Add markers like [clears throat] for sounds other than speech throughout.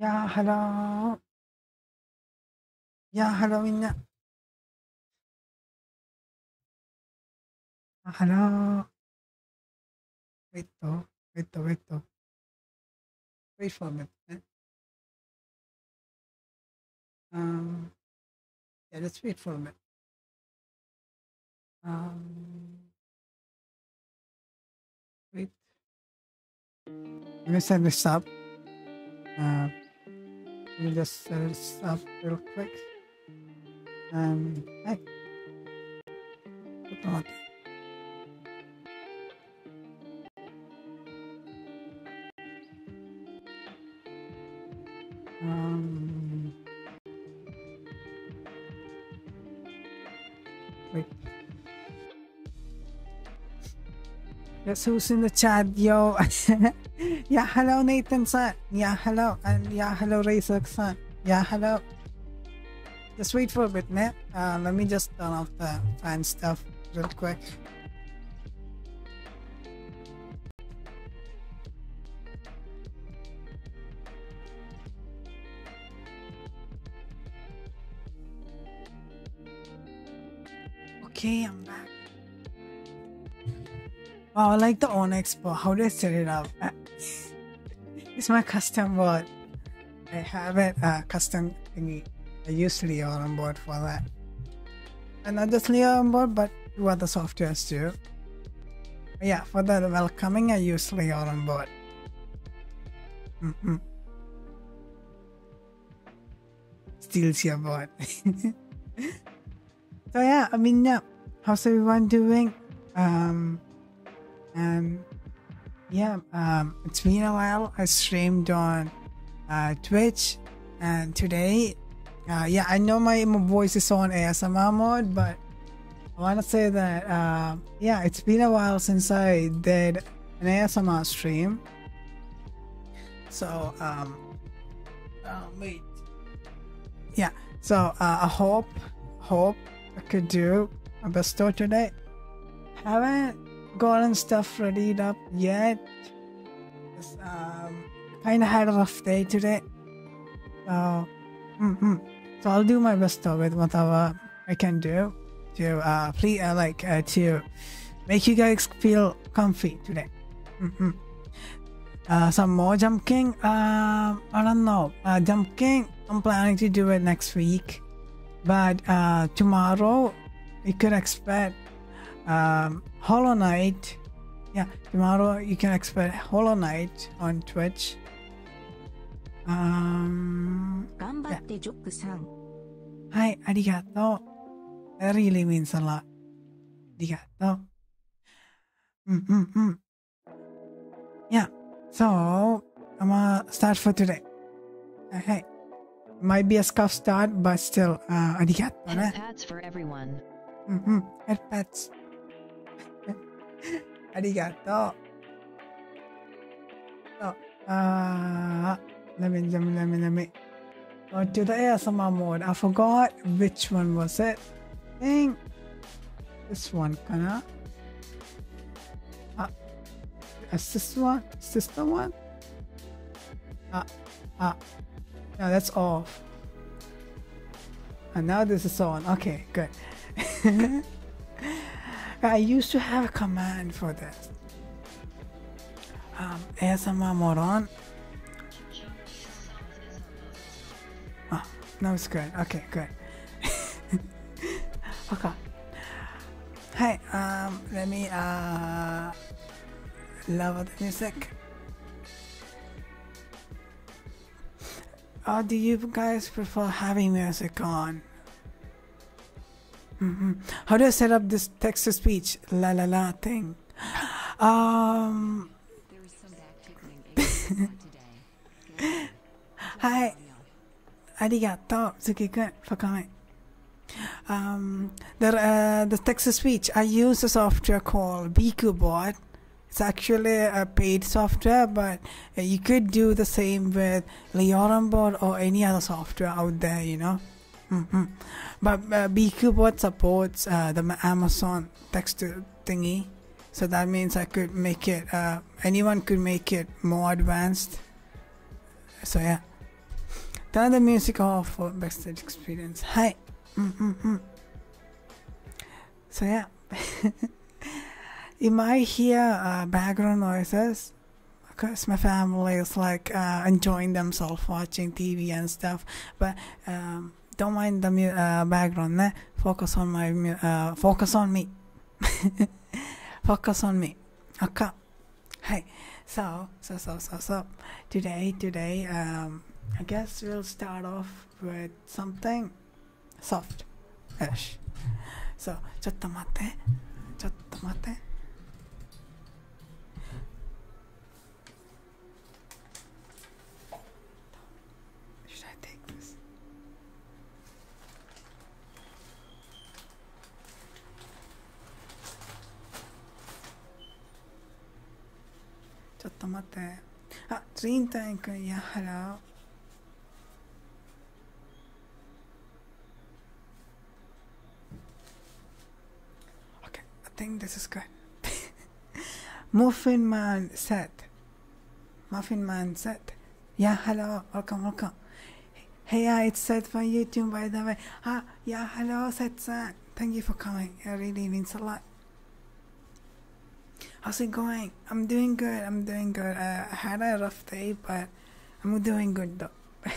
يا هلا やー、ハローみんな。あハロー。Wait, though. Wait, though. Wait, though. Wait for a minute. Eh? Um, yeah, let's wait for a um, wait. I'm gonna set this up. Uh, let me just set this up real quick. Um, hey. Put on. Um, wait the chat, yo. [laughs] yeah, hello Nathan son. Yeah, hello. And yeah, hello Razor son. Yeah, hello. Just wait for a bit, man. Uh, let me just turn off the fan stuff real quick. Okay, I'm back. Wow, I like the Onyx board. How did I set it up? It's my custom board. I have it a uh, custom thingy. I usually Leo on board for that. And not just Leo on board, but two the softwares too. yeah, for the welcoming, I usually Leo on board. Mm-hmm. Still siya bot. [laughs] so yeah, I mean, yeah. How's everyone doing? Um, and yeah, um, it's been a while. I streamed on uh, Twitch, and today, uh, yeah, I know my, voice is on ASMR mode, but I want to say that, uh, yeah, it's been a while since I did an ASMR stream. So, um, oh, wait. Yeah. So uh, I hope, hope I could do a bestow today. Haven't gotten stuff ready up yet. Um, kind of had a rough day today. So, mm-hmm. so I'll do my best though with whatever I can do to uh, please uh, like to make you guys feel comfy today. Mm-hmm. Uh, some more jumping. king. Uh, I don't know. Uh, jumping. I'm planning to do it next week, but uh, tomorrow you could expect um, Hollow Night. Yeah, tomorrow you can expect Hollow Night on Twitch. Um, yeah. はい、ありがとう。that really means a lot. Digato. Mm-mm-mm. Yeah. So I'm gonna start for today. Hey, Might be a scuff start, but still, uh, arigato, Head pats for everyone. Mm-hmm. Head pats. [laughs] arigato. So, uh, let me, let me, let me. Or to the ASMR mode. I forgot which one was it. think this one, kinda. this uh, one? Is this the one? Ah, ah. Uh. uh that's off. And now this is on. Okay, good. [laughs] I used to have a command for this. Um, ASMR mode on Ah, Oh, no, it's good. Okay, good. [laughs] okay. Hey, um, let me uh, love the music. Or do you guys prefer having music on? Mm -hmm. How do I set up this text to speech la la la thing? tickling. Um. はい。ありがとう、ズキ君、for coming. Um, the, uh, the text-to-speech, I use a software called BQBot. It's actually a paid software, but uh, you could do the same with Leorenbot or any other software out there, you know. Mm-hmm. But uh, Beakubot supports uh, the Amazon text thingy, so that means I could make it. Uh, anyone could make it more advanced. So yeah. Turn the music off for backstage experience. Hi. Mm-hmm. So yeah. [laughs] you might hear uh, background noises? Because my family is like enjoying themselves watching TV and and stuff but um, don't mind the uh, background ne? focus on my uh, focus on me [laughs] focus on me okay hi so so so so so today today um, i guess we'll start off with something soft ish so ちょっと待ってちょっと待って Should I take this? ちょっと待ってあ人体君やはら Okay, I think this is good. [laughs] Muffin Man said. Muffin Man said. Yeah, hello, welcome, welcome. Hey, yeah, it's Seth from YouTube, by the way. Ah, yeah, hello, Seth. Uh, thank you for coming. It really means a lot. How's it going? I'm doing good. I'm doing good. I had a rough day, but I'm doing good though.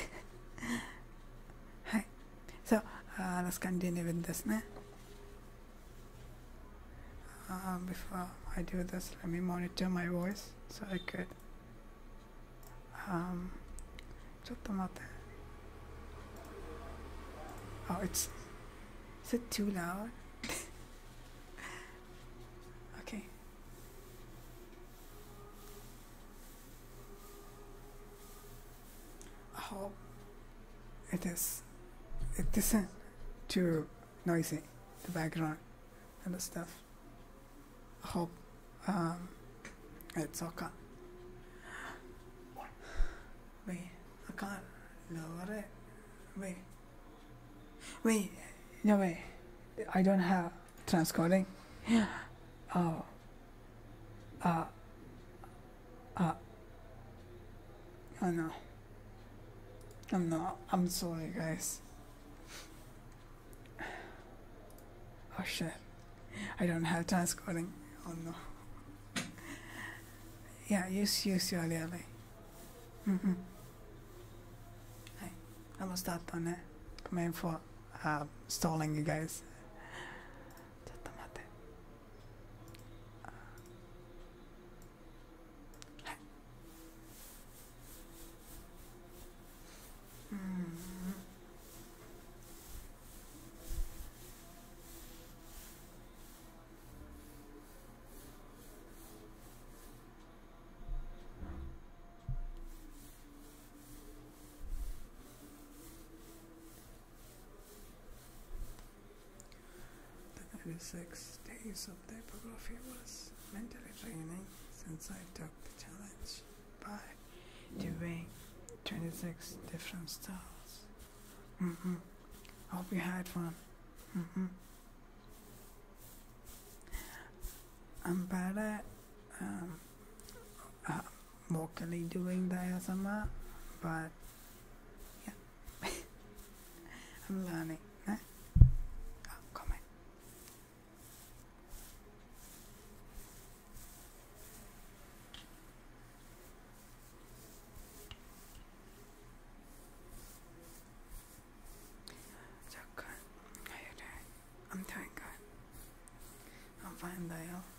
Hi, [laughs] So uh, let's continue with this. Ne? Uh, before I do this, let me monitor my voice so I could. Um, ちょっと待って。Oh, it's. Is it too loud? [laughs] okay how it is. It isn't too noisy, the background and the stuff. I hope um, it's okay. Wait, I can't lower it. Wait. Wait, no way. I don't have transcoding. [gasps] Oh, uh, uh, I know. I'm not. I'm sorry, guys. Oh shit. I don't have task coding. Oh no. Yeah, use use your LLA. Mm-hmm. Hey, I'm gonna start on it. Eh? Come in for uh, stalling you guys. ちょっと待ってうん The 96 days of typography was mentally draining since I took the challenge by doing 26 different styles. Mm-hmm. Hope you had fun. Mm-hmm. I'm bad at um, uh, vocally doing the asama, but yeah, [laughs] I'm learning. come on. So I'm doing I'm fine, Dale.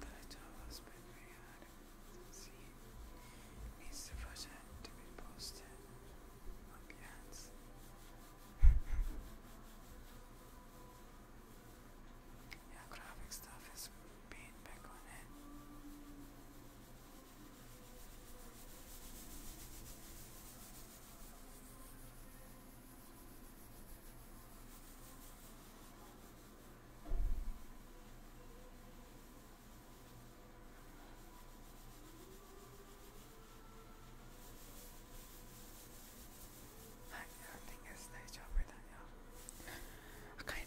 title has been very hard to see. Needs the project to be posted on hands. yeah, graphic stuff is being back on it. I think it's nice job right now. I kind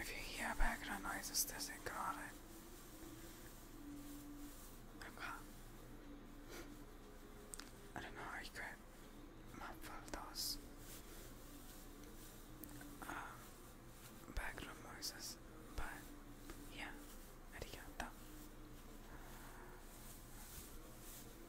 If you hear background noises, just ignore it. I don't know how you could muffle those background noises, but yeah, arigato.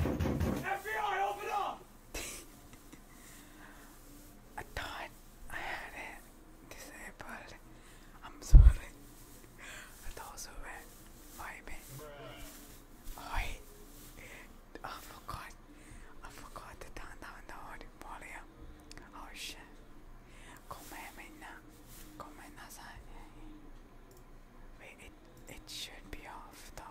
FBI, open up! [laughs] I thought I had it disabled. I'm sorry. That also went vibing. Oi! I forgot. I forgot to turn down the volume. Oh shit. ごめんみんなごめんなさい Wait, it, it should be off though [laughs]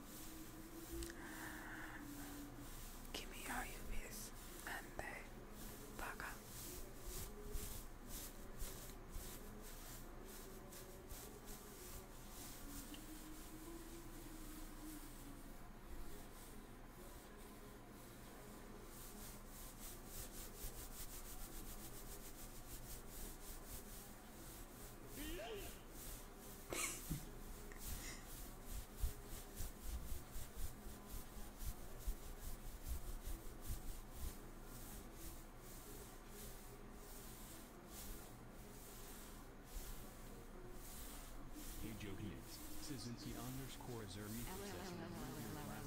Kimi are you with and they baka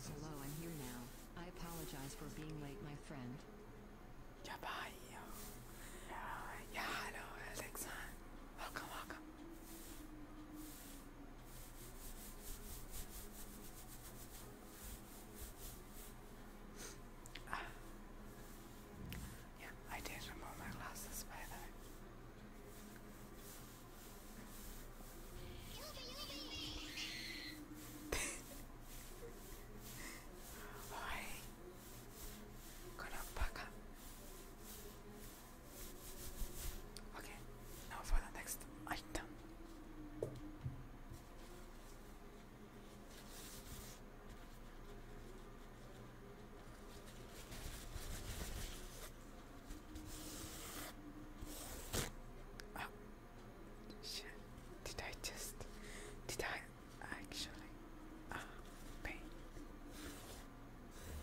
Hello, I'm here now. I apologize for being late, my friend. Goodbye. Yeah, hello, Alexa. Welcome, welcome. Ah. [sighs] Yeah, I did remove my glasses by the way. [laughs] Oi, oh, Konopaka. Okay, now for the next item. Oh, shit. Did I just. Did I actually. Ah, uh, pain.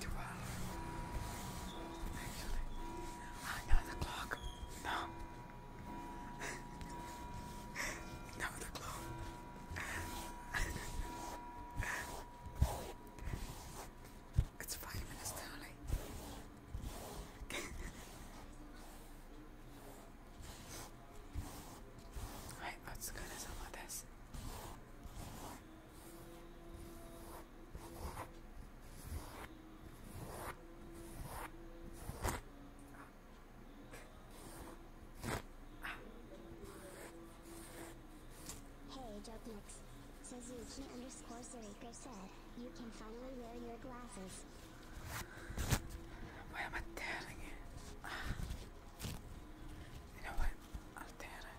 Twelve. Actually, I clock. No. [laughs] no, clock. [laughs] It's five minutes too late. right, let Hey, Jokemix. Suzuki underscore Zeriko said, you can finally wear your glasses. Why am I tearing it? You know what? I'll ah. tear it.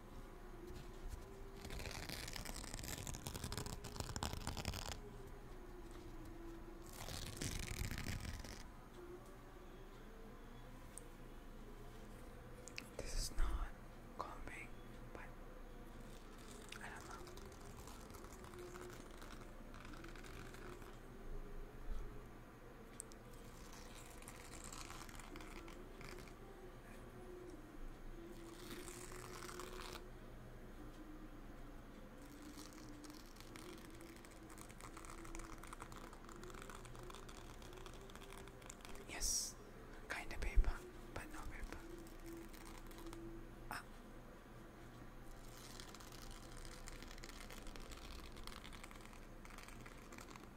This is not calming, but I don't know. Yes, kinda paper, but no paper. Ah.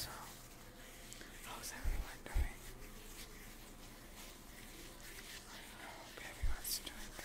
So, how's everyone doing? I hope everyone's doing good.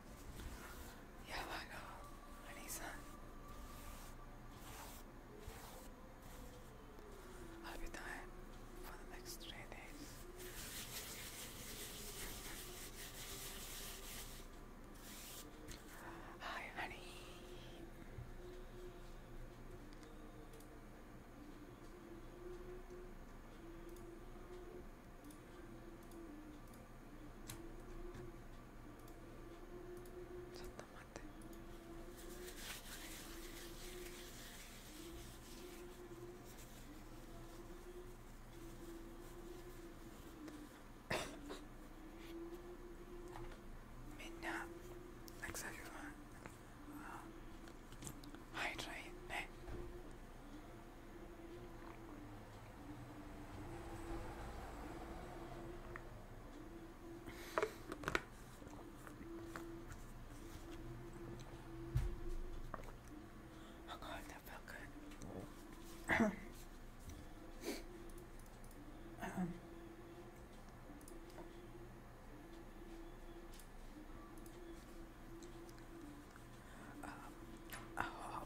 Yeah, I need sun. I'll be dying for the next three days. Hi, honey. ちょっと待ってみんなたくさんはい、ね。Oh god, that felt good. um. Um, oh,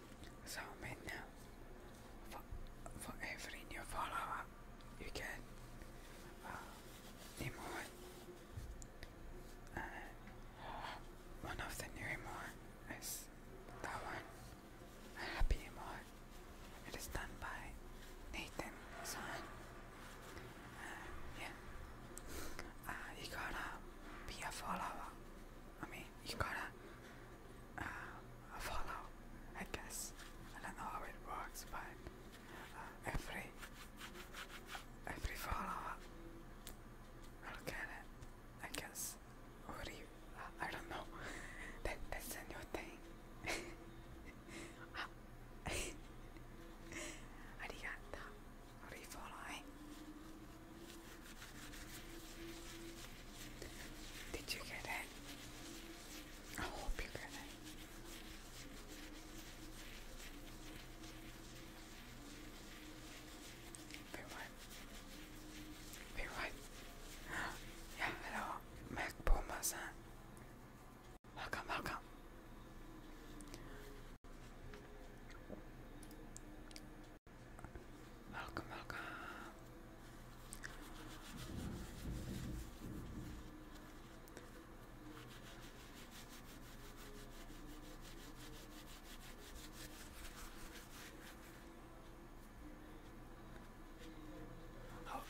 So right now, for, for every new follower, you get uh, emote one of the new emote is that one, happy emote. It is done by Nathan Son. yeah, uh, you gotta be a follower. I mean, you gotta uh, follow, I guess. I don't know how it works, but uh, every every follower will get it, I guess. Or you, I don't know. [laughs] that that's a new thing. [laughs] Arigato. Are you following? Eh? Did you get it? I hope you get it. Wait, what? Wait, what? Yeah, hello, Mac bomber Welcome, welcome. Welcome, welcome.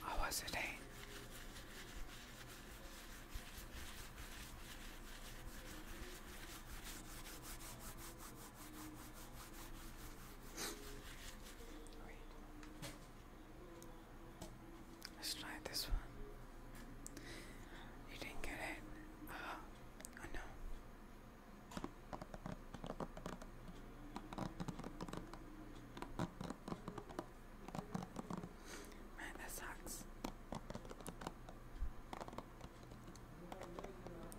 How, was the Let's try this one. You didn't get it. Uh, oh no. Man, that sucks.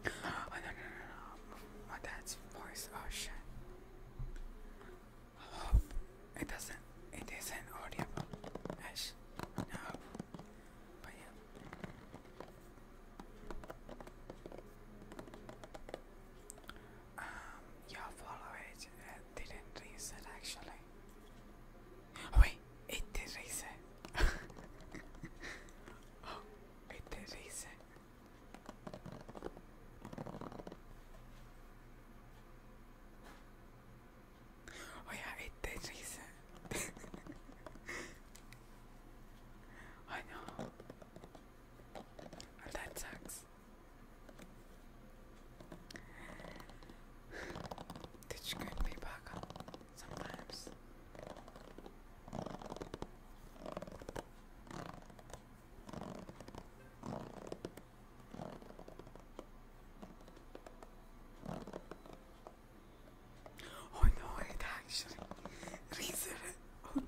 Oh, no no no no! Oh, that's voice. Oh shit! Oh, it doesn't. It isn't audible. Ash. No. But yeah. Um, your follower didn't reset actually. Oh, wait ettirize. oh, ettirize. Oh yeah, ettirize. I know. that sucks. Did you get me back? sometimes. Oh it actually reset it. Oh no.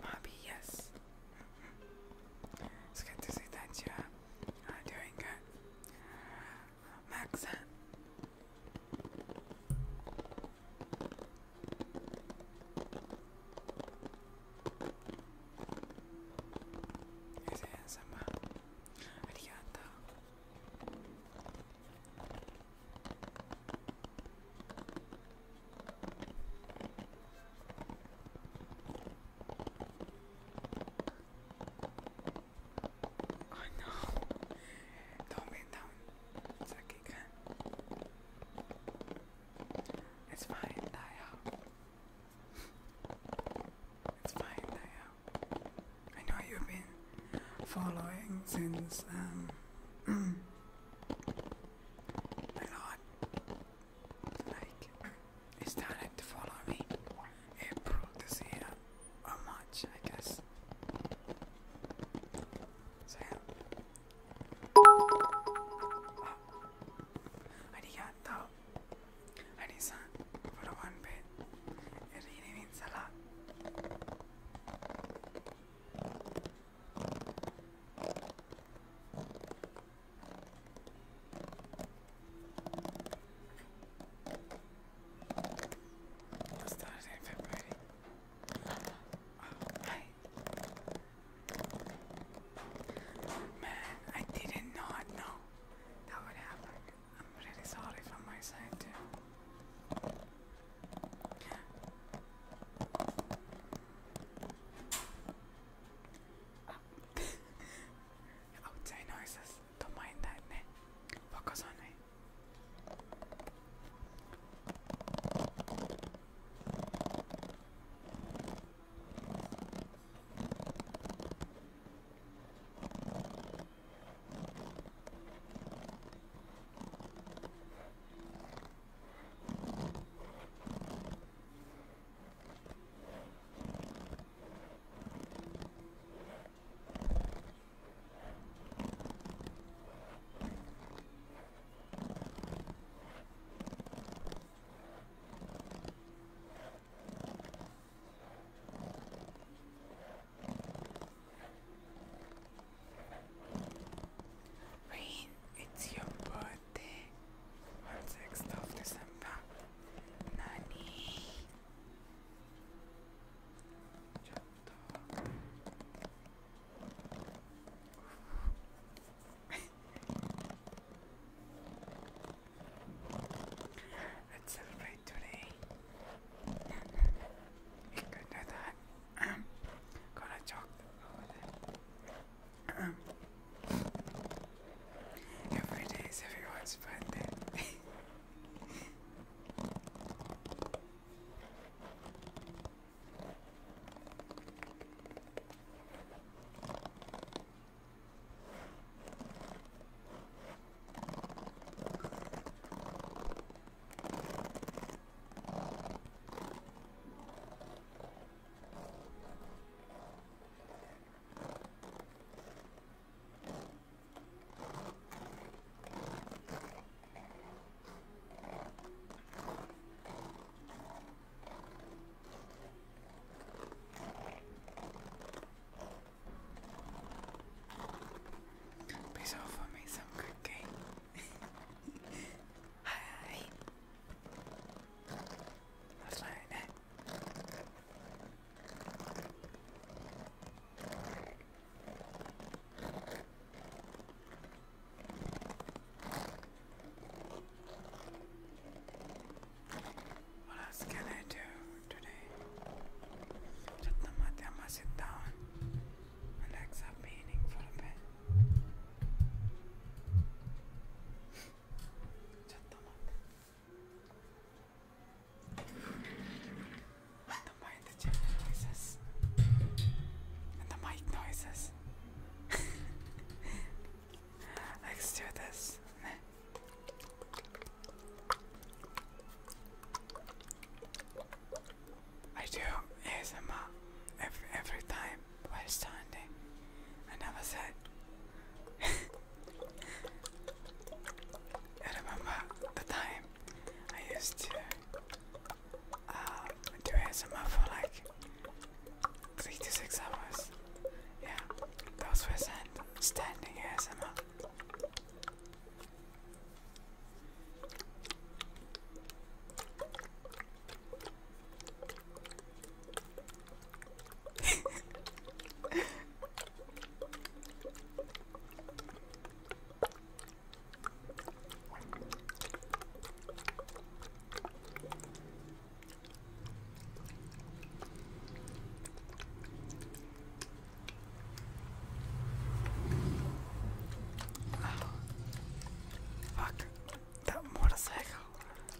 Bobby, yes. It's good to see that you are doing good. Max, is handsome. Arigato. Oh no, don't be down. It's it It's fine, die it's fine, die I know you've been following since um [clears throat] a lot like it started to follow me April this year or March I guess so oh. arigato arisan for one bit it really means a lot Man, I did not know that would happen. I'm really sorry from my side too. Outside noises. Don't mind that, ne? Focus on me. Rain, it's your birthday. って 6th of December 何ちょっと [laughs] Let's celebrate today いくらだこのチョコ [laughs] [clears throat] Every day is everyone's birthday. Please offer me some cooking. [laughs] Hi. Let's what else can I do today? Chatnamatya, I must sit down, relax up, meaning for ちょっと待って do the mic noises let's do this I do ASMR every, every time standing, I never said. [laughs] I remember the time I used to uh, do ASMR for like three to six hours. Yeah, those were stand standing ASMR. Fuck that motorcycle.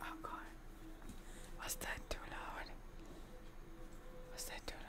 Oh god. Was that too loud? Was that too loud?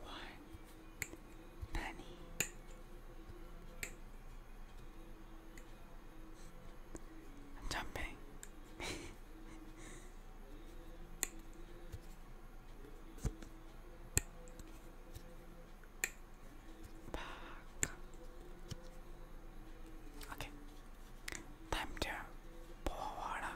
One penny, [laughs] I'm jumping. [laughs] Okay, time to pour water.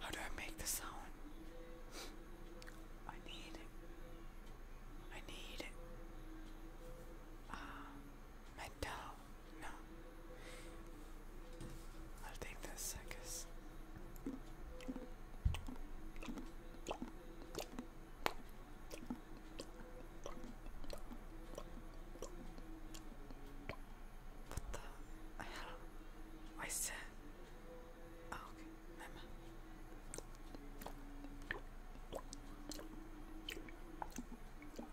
How do I make the sound? I need it. I need it. Uh, ah, metal no. I'll take this, I What the hell? Why oh, is okay,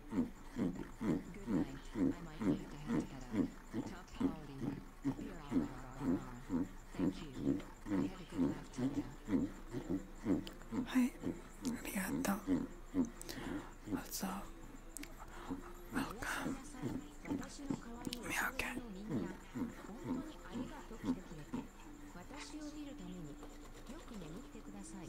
はい、ありがとう。Also, welcome. Miyake.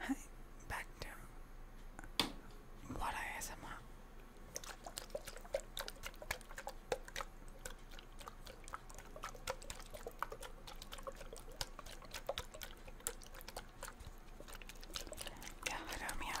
Hi, back to what I ASMR. Yeah, I am not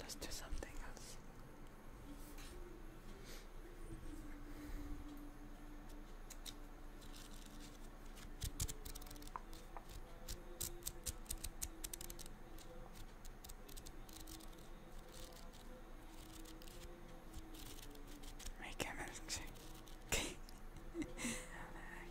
Let's do something else. Make him okay. [laughs] [laughs]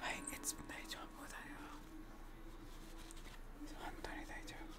はい、It's 大丈夫だよ。本当に大丈夫。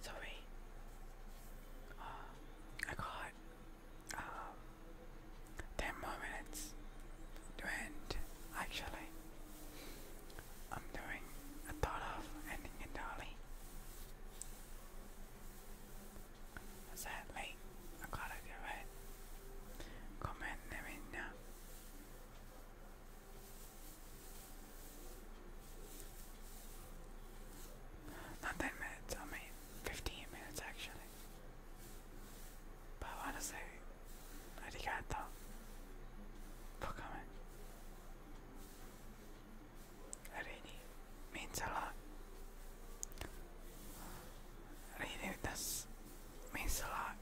Sorry. Um, I got um, ten more minutes to end. Actually, I'm doing a thought of ending early. Sadly, I gotta do it. Comment, let me know. Not 10 minutes, 15 minutes actually. But honestly, arigato for coming. really means a lot. Really, this means a lot.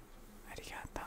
Arigato.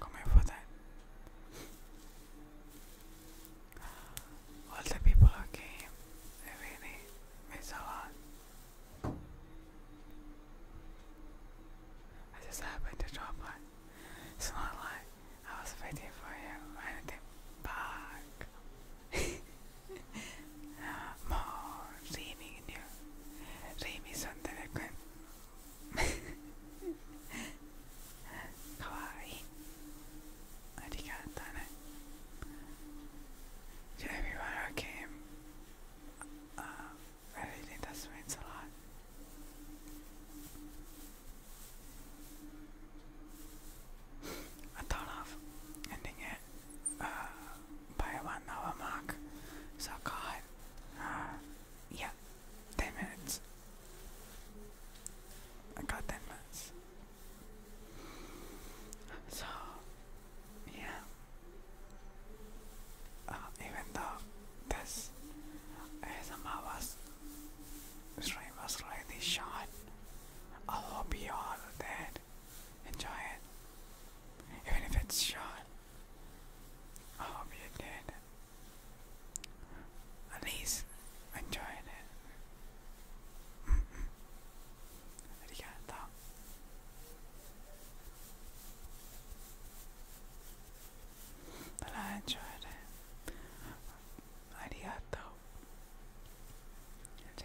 Come here for that. All the people who came, they really miss a lot. I just happened to drop by. It's not like I was waiting for you or anything back. More dreaming you. Dreamy something again. かわいいありがとね So everyone who came uh, really does means a lot I thought of ending it uh, by one hour mark so God uh, yeah, 10 minutes. I got 10 minutes. So, yeah. Uh, even though this ASMR was, stream was really short, I hope you all did enjoy it. Even if it's short, I hope you did. At least i it. Mm -mm. Arigato. But I enjoyed it. Arigato. It's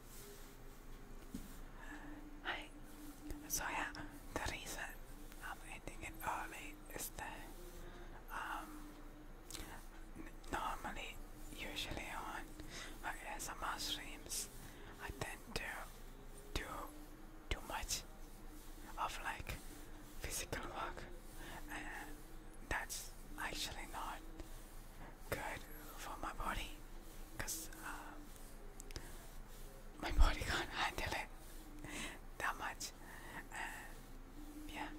Hi, so yeah, the reason I'm ending it early is that um, normally, usually on my ASMR streams, I tend to do too much of like physical work, and that's actually not good for my body because um, my body [laughs] can't handle it that much yeah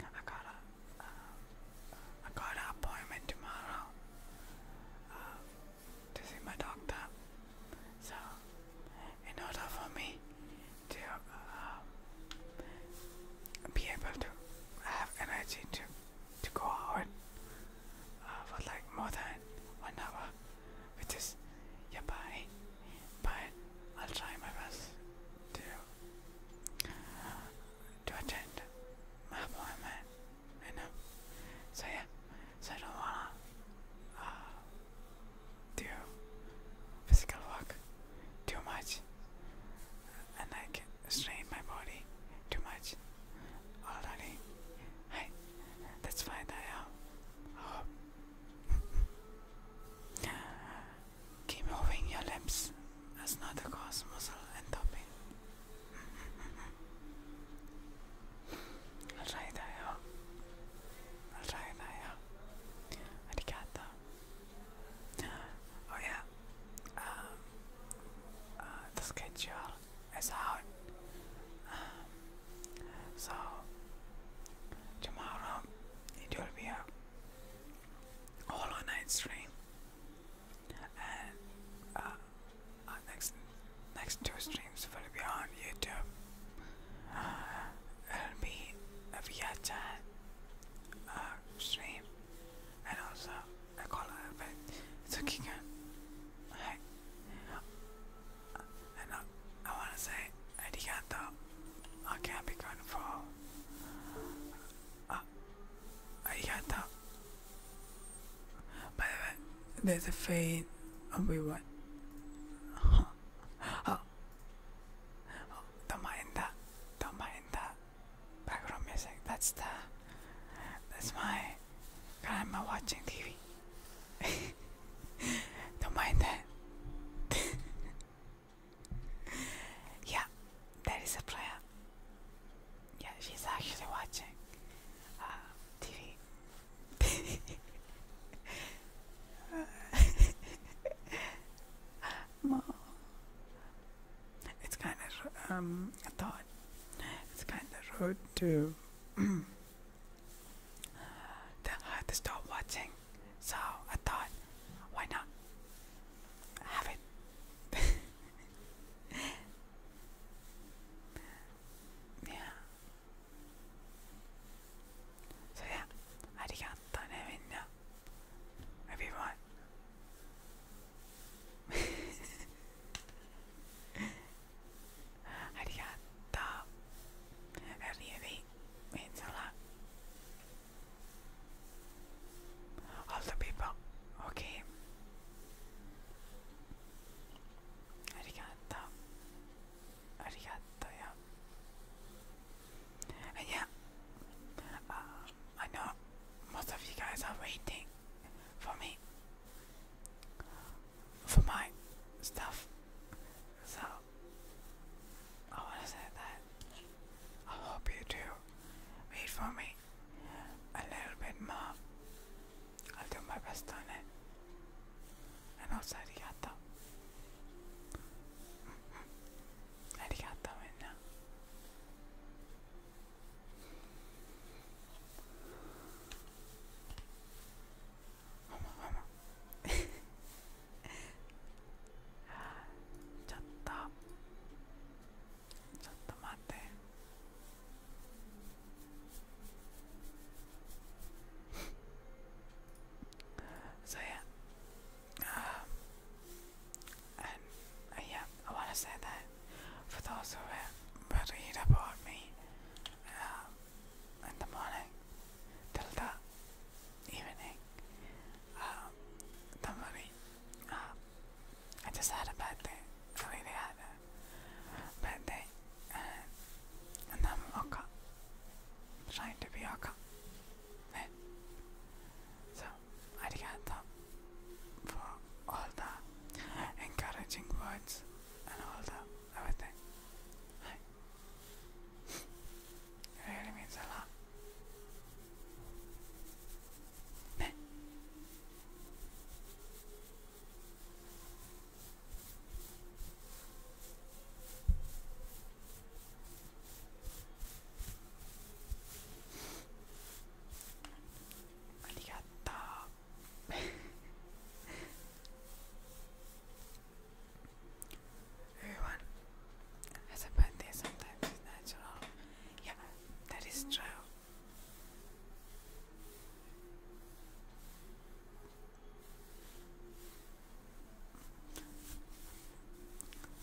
I got a um, got an appointment tomorrow um, to see my doctor so in order for me to be able to have energy to to go out uh, for like more than one hour, which is yeah, bye. But I'll try my best to to attend my appointment. I know. So yeah, so I don't wanna uh, do physical work too much, and I can strain my body too much already. Hey, let's find oh. Keep moving your lips. That's not the cause, muscle and topping. I'll try that out. i Oh yeah. Um, uh, the schedule it's out. Um, so tomorrow it will be a all night stream, and uh, uh, next next two streams will be on YouTube. Uh, it'll be a VHS stream and also I call her back. It's okay, girl. Hey. And I, I wanna say, Arigato. I can't be gone for. Uh, arigato. By the way, there's a fade on we want. [laughs] Oh, don't mind that. Don't mind that background music. That's the that's my I'm watching TV. [laughs] Don't mind that. [laughs] yeah, there is a player. Yeah, she's actually watching uh, TV. [laughs] Mom, it's kind of um, I thought it's kind of rude to [clears throat] tell her watching. So I thought, why not have it? [laughs] yeah. So yeah, arigato ne minna, everyone. Arigatta. Arrivi. Inshallah. All the people. Okay. Arigatta. Arigatta, yeah. And yeah, uh, I know most of you guys are waiting for me for my stuff. So I wanna say that I hope you do read for me a little bit more. I'll do my best on it. And also arigato. Mm-hmm. arigato, minna. ちょっとちょっと待って so yeah um, and uh, yeah I want to say that for those who have to eat about me uh, in the morning till the evening, um, don't Uh, um, I just had a bad day. really had a bad day, and, and I'm Trying to be okay. Right? So, arigato for all the encouraging words and all the everything. it really means a lot. Arigato. Everyone has a birthday sometimes, it's natural. Yeah, that is true.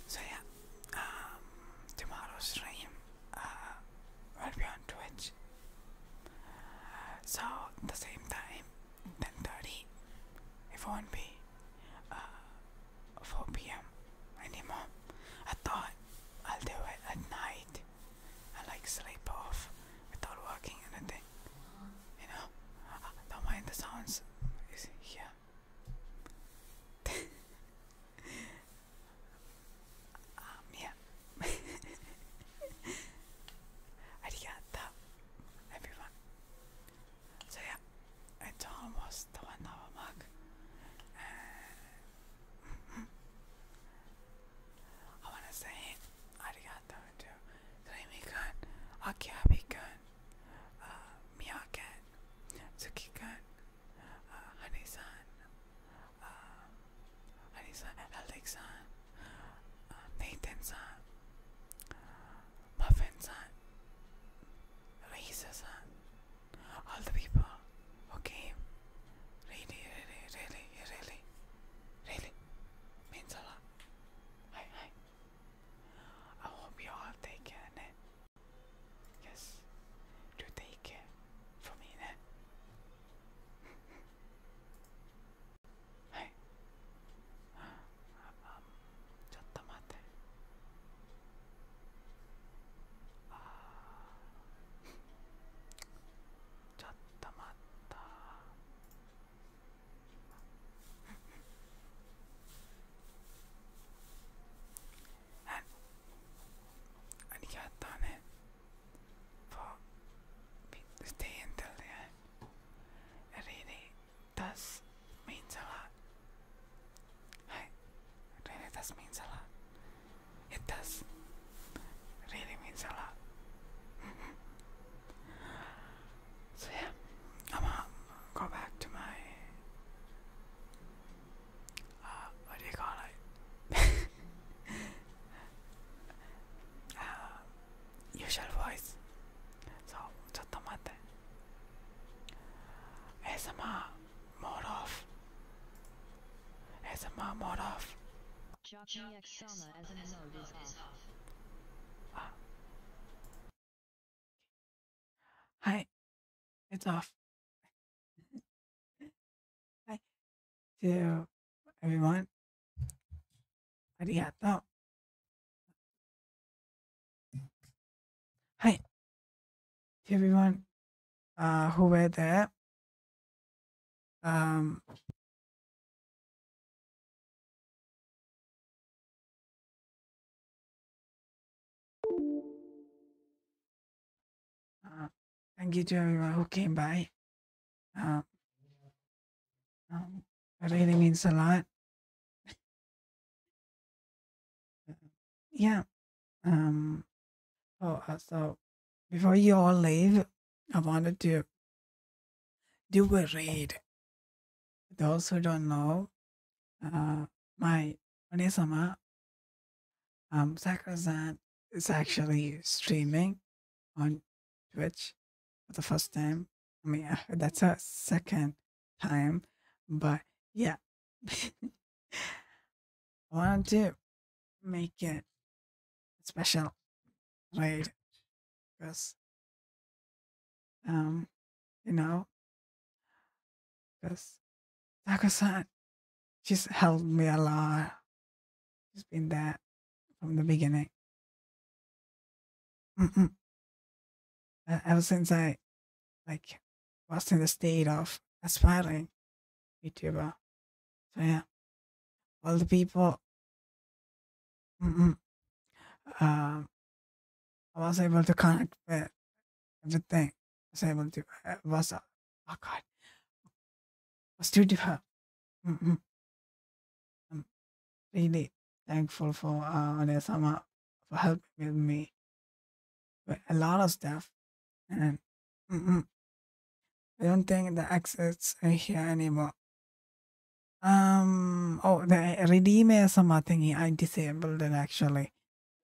So yeah, um, tomorrow's stream uh, will be on Twitch. So the same time, 10:30. If It won't be uh, 4 p.m. anymore. I thought I'll do it at night. I like sleep off without working anything. You know, don't mind the sounds. Is here. [laughs] Um, yeah. Arigato, [laughs] everyone. So yeah, it's almost the one hour uh, mark. [laughs] I wanna say arigato to Creamy-kun, Akiabi-kun, uh, Miyake, Tsuki-kun, uh, Honey-san, um, uh, nathan Muffin-san, all the people who really, really, really, really, really means a lot. Hi, hi. I hope you all take care, ne? Yes, you take care for me, ne? はいあちょっと待ってああ。ちょっと待ったありがとうね for stay until the end. It really does mean a lot. Hi, it really does means a lot. It does really means a lot. so yeah, mm-hmm. I'm gonna go back to my. Uh, what do you call it? [laughs] uh, [laughs] voice so ちょっと待って ASMR mode off ASMR mode off Jockey It's off [laughs] Hi to everyone. Arigato. Hi everyone uh, who were there. Um, uh, thank you to everyone who came by. It really means a lot. yeah. Um, uh, so before you all leave, I wanted to do a read. Those who don't know, uh, my Onesama um, Zakrazan is actually streaming on Twitch for the first time. I mean, that's a second time, but yeah. I want to make it special, right? Because, um, you know, because Taco-san she's helped me a lot. She's been there from the beginning. Ever since I like was in the state of aspiring YouTuber. So yeah, all the people. Um, I was able to connect with everything. I was able to I was oh God, was too difficult. mm I'm really thankful for uh, sama for helping with me with a lot of stuff. And mm-mm. I don't think the exits here anymore. Um, oh, the Redeemer Sama thingy, I disabled it actually.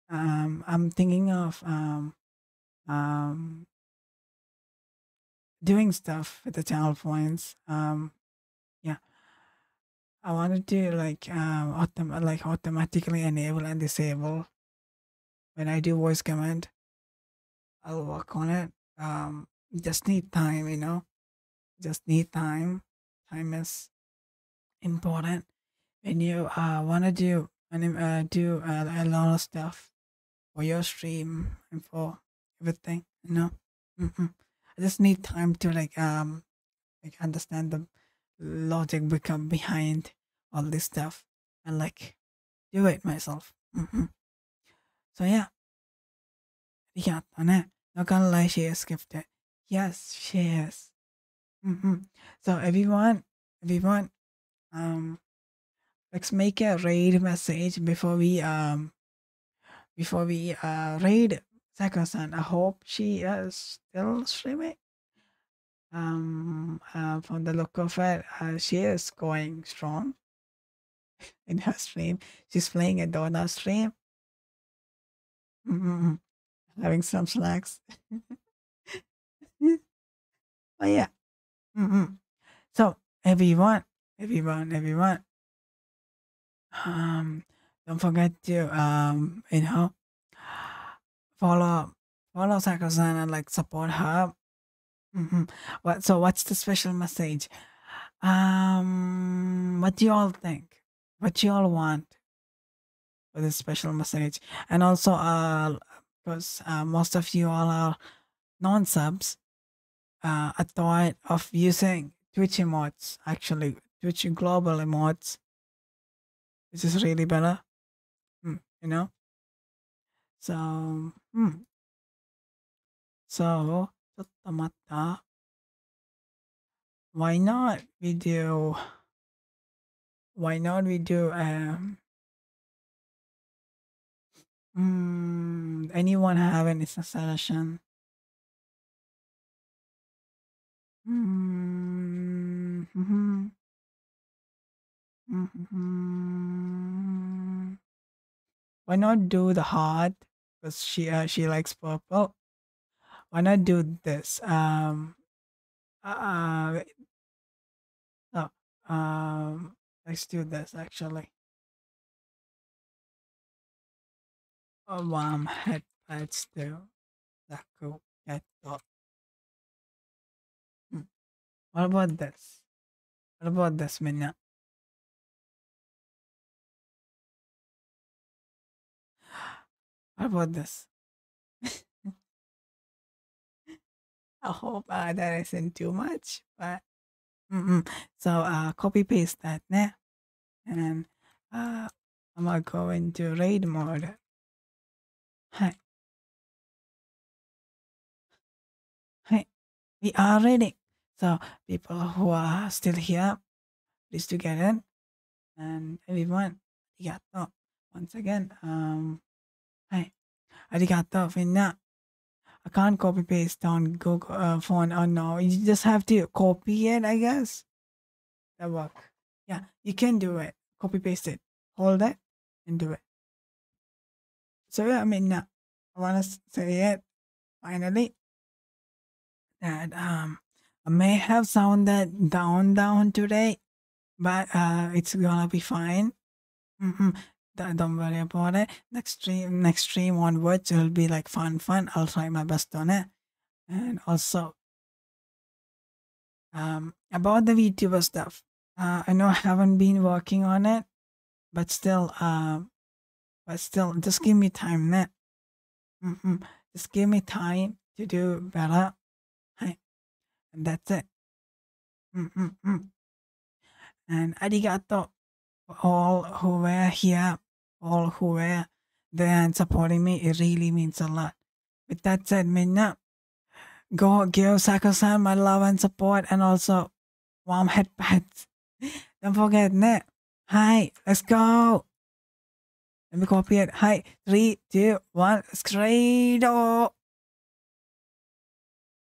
Um, I'm thinking of um, um, doing stuff with the channel points. Um, yeah, I wanted to like um, autom- like automatically enable and disable when I do voice command. I'll work on it. Um, just need time, you know. Just need time. Time is important when you uh, want to do and uh, do a lot of stuff for your stream and for everything you know mm -hmm. i just need time to like um like understand the logic become behind all this stuff and like do it myself mm -hmm. so yeah ありがとね。No can lie, she is gifted. Yes, she is. Mm -hmm. So everyone, everyone, um, let's make a raid message before we um before we uh raid Sako-san. I hope she is uh, still streaming. Um, uh, from the look of her, uh, she is going strong [laughs] in her stream. She's playing a donut stream. Having some snacks. [laughs] Oh yeah. Mm-hmm. So everyone, everyone, everyone. Um, don't forget to um, you know, follow follow sako and like support her. Mm-hmm. What? So what's the special message? Um, what do you all think? What do you all want for this special message? And also, uh, because uh, most of you all are non-subs, uh, I thought of using Twitch emotes, actually, Twitch global emotes, which is really better, hmm, you know? So, mm. so, ちょっと待った。Why not we do, why not we do um, Mm, anyone have any suggestion? Mm, mhm, mhm. Why not do the heart? Because she uh, she likes purple. Oh, why not do this? Um, uh, Oh, um, let's do this actually. Oh, um, headpads to Daku Keto. Hmm. What about this? What about this, Minya? [gasps] What about this? [laughs] I hope uh, that isn't too much, but mm-mm. so uh, copy paste that now, and uh, I'm gonna read more. Hi. Hi. We are ready. So people who are still here, please do get in. And everyone, arigato. Once again, um, Hey, arigato finna. I can't copy paste on Google uh, phone or oh, no. You just have to copy it, I guess. That work. Yeah, you can do it. Copy paste it. Hold it and do it. So yeah, I mean, I want to say it finally that um may have sounded down down today, but uh it's gonna be fine. Mm-hmm. Don't worry about it. Next stream, next stream onwards, will be like fun, fun. I'll try my best on it. And also, um, about the VTuber stuff. Uh, I know I haven't been working on it, but still, uh, but still, just give me time, net. Mm -mm. Just give me time to do better. Hey, and that's it. Mm, mm, mm. And all who were here, all who were there and supporting me. It really means a lot. With that said, Minna, go give sako my love and support and also warm head [laughs] Don't forget, ne? Hi, let's go. Let me copy it. Hi, three, two, one, scredo.